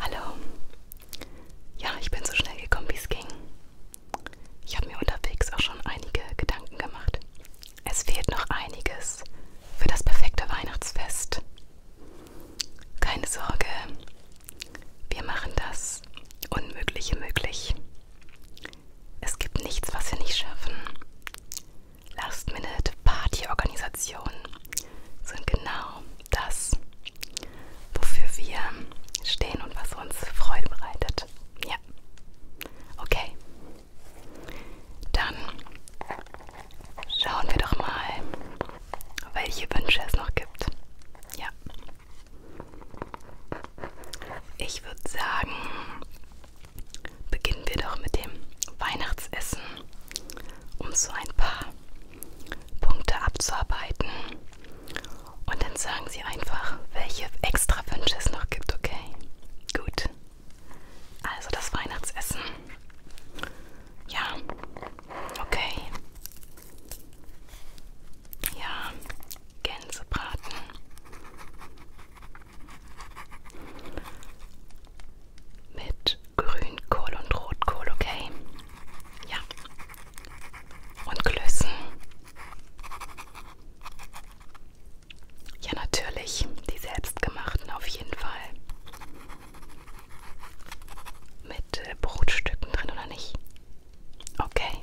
Hallo. Ja, ich bin so schnell gekommen, wie es ging. Ich habe mir unterwegs auch schon einige Gedanken gemacht. Es fehlt noch einiges für das perfekte Weihnachtsfest. Keine Sorge, wir machen das Unmögliche möglich. Es gibt nichts, was wir nicht schaffen. Last-Minute-Party-Organisationen sind genau das, wofür wir stehen und was uns Freude bereitet. Ja. Okay, dann schauen wir doch mal, welche Wünsche es noch gibt. Ja. Ich würde sagen, beginnen wir doch mit dem Weihnachtsessen, um so ein paar Punkte abzuarbeiten. Und dann sagen Sie einfach, welche extra Wünsche es noch gibt, okay? Gut. Also das Weihnachtsessen. Ja. Okay. Ja. Gänsebraten. Mit Grünkohl und Rotkohl, okay? Ja. Und Klößen. Ja, natürlich, die selbstgemachten auf jeden Fall. Mit äh, Brotstücken drin oder nicht? Okay.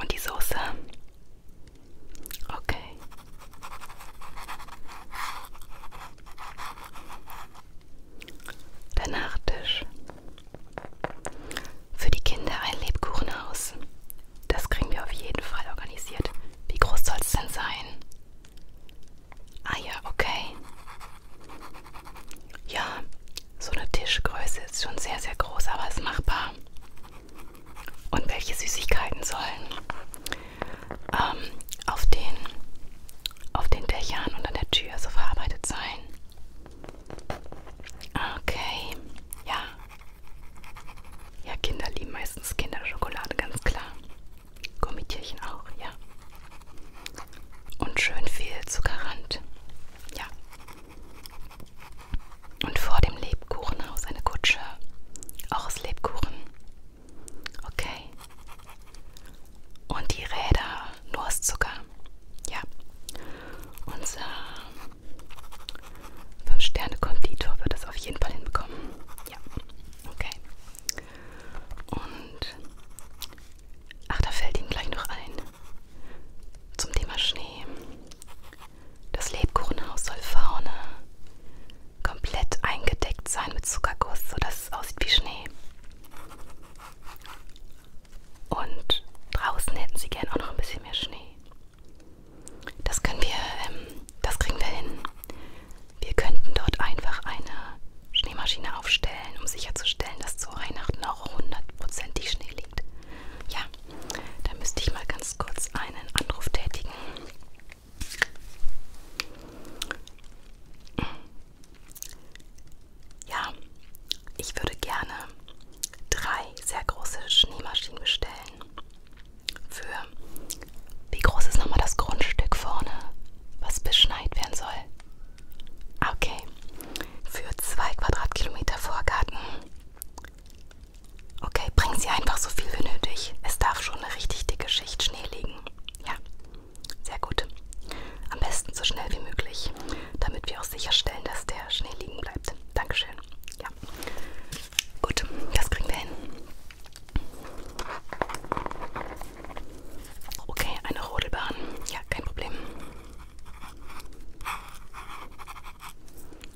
Und die Soße? Okay. Der Nachtisch für die Kinder ein Lebkuchenhaus. Das kriegen wir auf jeden Fall organisiert. Wie groß soll es denn sein? Ah ja, okay. Ja, so eine Tischgröße ist schon sehr, sehr groß, aber ist machbar. Und welche Süßigkeiten sollen ähm, auf, den, auf den Dächern und an der Tür so verarbeitet sein? Okay, ja. Ja, Kinder lieben meistens Kinderschokolade, ganz klar. Gummitierchen auch, ja. Und schön viel Zuckerrand. Ja. Und vor dem Lebkuchenhaus eine Kutsche. Auch aus Lebkuchen. Okay. Und die Räder Nusszucker. Ja. Unser 5-Sterne-Konditor äh, wird das auf jeden Fall hinbekommen. Ja. Okay. Und ach, da fällt Ihnen gleich noch ein. Zum Thema Schnee. Das Lebkuchenhaus soll vorne komplett eingedeckt sein mit Zuckerguss, sodass es aussieht wie Schnee. Und draußen hätten sie gern auch noch ein bisschen mehr Schnee. Das können wir, ähm, das kriegen wir hin. Wir könnten dort einfach eine Schneemaschine aufstellen, um sicherzustellen, dass zu Weihnachten auch hundertprozentig Schnee liegt. Ja, da müsste ich mal ganz kurz einen Anruf tätigen ja, ich würde gerne drei sehr große Schneemaschinen bestellen. Für wie groß ist nochmal das Grundstück vorne, was beschneit werden soll? Okay, für zwei Quadratkilometer Vorgarten. Okay, bringen Sie einfach so viel wie nötig. Es darf schon eine richtig dicke Schicht Schnee liegen. Ja, sehr gut. Am besten so schnell wie möglich, damit wir auch sicherstellen, dass der Schnee liegen bleibt bleibt. Dankeschön. Ja. Gut, das kriegen wir hin. Okay, eine Rodelbahn. Ja, kein Problem.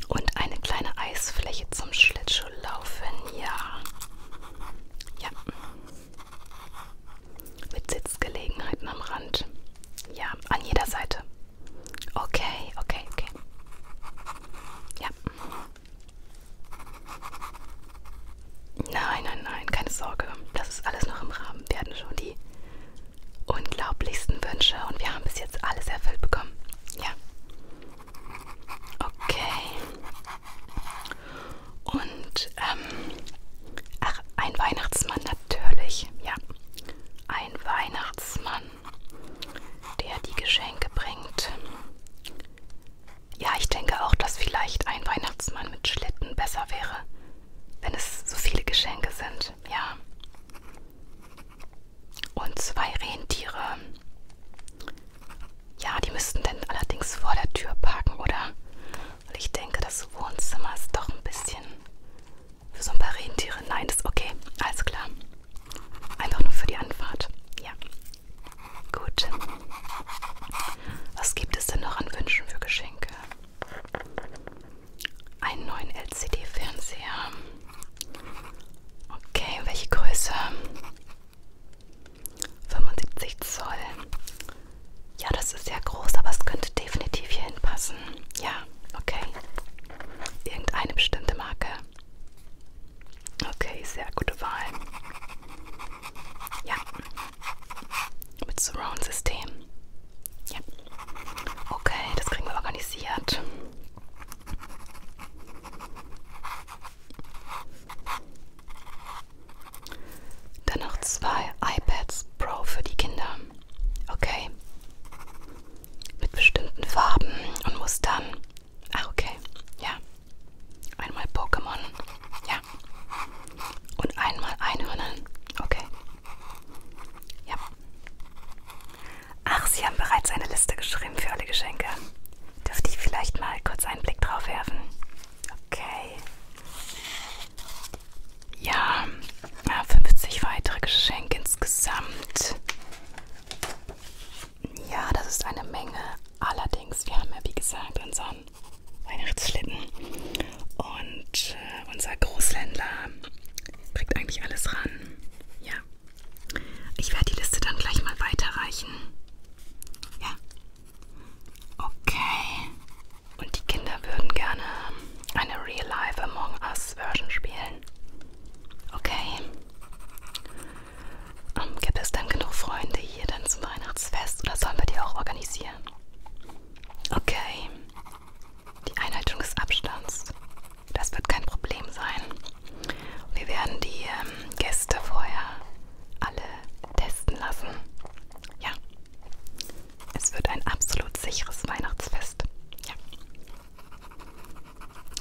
Und eine kleine Eisfläche zum Schlittschuhlaufen. Ja. Ja. Mit Sitzgelegenheiten am Rand. Ja, an jeder Seite. Okay, okay, okay. Ja. Nein, nein, nein, keine Sorge. Das ist alles noch im Rahmen. Wir hatten schon die unglaublichsten Wünsche und wir haben bis jetzt alles erfüllt bekommen. Ja. Okay. Und, ähm, ach, ein Weihnachtsmann natürlich. Ja ein Weihnachtsmann, der die Geschenke bringt. Ja, ich denke auch, dass vielleicht ein Weihnachtsmann mit Schlitten besser wäre, wenn es so viele Geschenke sind, ja. Und zwei Rentiere. Ja, die müssten dann allerdings vor der Tür parken, oder? Weil ich denke, das Wohnzimmer ist doch ein bisschen für so ein paar Rentiere. Nein, das ist okay. Alles klar. Einfach nur für die Anfahrt. Ja. Gut. Was gibt es denn noch an Wünschen für Geschenke? Einen neuen LCD-Fernseher. Okay, welche Größe? 75 Zoll. Ja, das ist sehr groß, aber es könnte definitiv hier hinpassen lassen. Ja, okay. Irgendeine bestimmte Marke. Okay, sehr gute Wahl. Ja. Mit Surround-System. Ja. Okay, das kriegen wir organisiert. Dann noch zwei iPads Pro für die Kinder. Okay. Mit bestimmten Farben und Mustern. Ah, okay. Ja. Einmal Pokémon. Ja. Und einmal Einhörnern. Okay. Ja. Ach, Sie haben bereits eine Liste geschrieben für alle Geschenke. Dürfte ich vielleicht mal kurz einen Blick drauf werfen? Okay ja, 50 weitere Geschenke insgesamt. Ja, das ist eine Menge. Allerdings, wir haben ja wie gesagt unseren Weihnachtsschlitten und äh, unser Großländer kriegt eigentlich alles ran. Ja, ich werde die Liste dann gleich mal weiterreichen. Ja, okay. Und die Kinder würden gerne eine Real Life Among Us Version spielen. Okay. Um, ähm, gibt es denn genug Freunde hier dann zum Weihnachtsfest oder sollen wir die auch organisieren? Okay. Die Einhaltung des Abstands. Das wird kein Problem sein. Wir werden die ähm, Gäste vorher alle testen lassen. Ja. Es wird ein absolut sicheres Weihnachtsfest. Ja.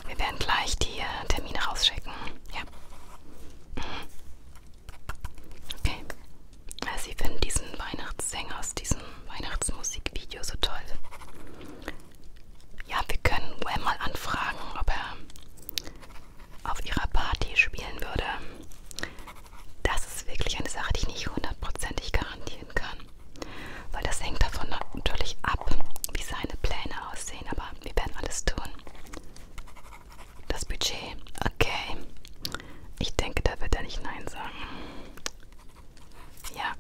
Wir werden gleich die äh, Termine rausschicken. Ja. Mhm. Okay. Sie finden diesen Weihnachtssänger aus diesem Weihnachtsmusikvideo so toll. Ja, wir können Wham mal anfragen, ob er auf ihrer Party spielen würde. Das ist wirklich eine Sache, die ich nicht hundertprozentig garantieren kann. Weil das hängt davon natürlich ab, wie seine Pläne aussehen. Aber wir werden alles tun. Das Budget, okay. Ich denke, da wird er nicht Nein sagen. Ja.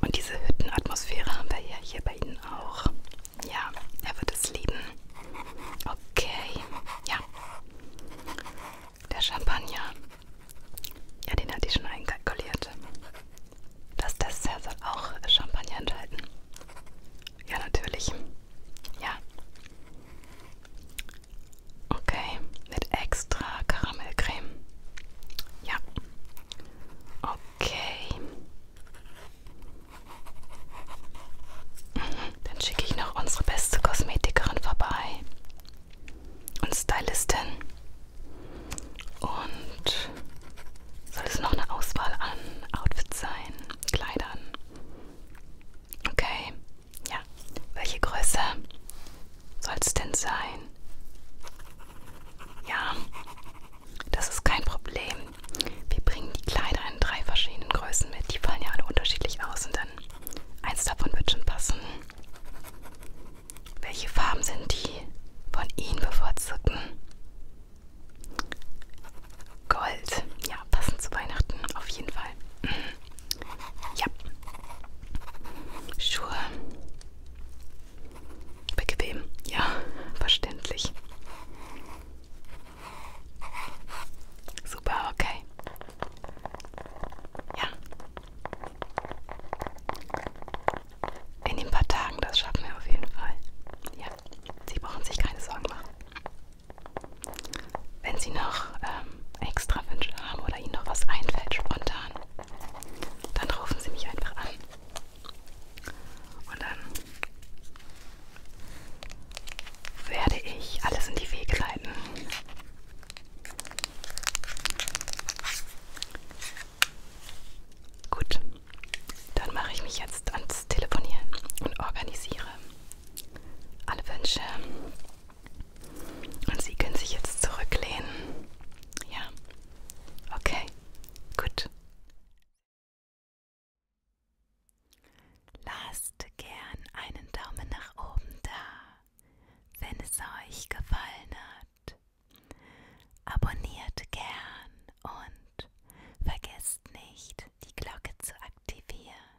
Und diese Hüttenatmosphäre haben wir ja hier bei Ihnen auch. Ja, er wird es lieben. Okay. Ja. Der Champagner, ja, den hatte ich schon einkalkuliert. Das Dessert soll auch Champagner enthalten. Ja, natürlich. Ja. Okay, mit extra Karamellcreme. Ja. Okay. Mhm. Dann schicke ich noch unsere beste Kosmetikerin vorbei und Stylistin. Und soll es noch eine Auswahl an Outfits sein, Kleidern? Okay, ja. Welche Größe soll es denn sein? Ja, das ist kein Problem. Wir bringen die Kleider in drei verschiedenen Größen mit. Die fallen ja alle unterschiedlich aus und dann eins davon wird schon passen. Welche Farben sind die von Ihnen bevorzugten? Gold. Ja, passend zu Weihnachten auf jeden Fall. Mhm. Ja. Schuhe. Bequem. Ja, verständlich. Super, okay. Ja, in den paar Tagen, das schaffen wir auf jeden Fall. Ja, Sie brauchen sich keine Sorgen machen. Wenn Sie noch ähm, extra Wünsche haben oder Ihnen noch was einfällt spontan, dann rufen Sie mich einfach an. Und dann werde ich alles in die Wege leiten, Gut, dann mache ich mich jetzt ans Telefonieren und organisiere alle Wünsche. Und Sie können sich jetzt zurücklehnen. Ja, okay, gut. Lasst gern einen Daumen nach oben da wenn es euch gefallen hat. Abonniert gern und vergesst nicht, die Glocke zu aktivieren.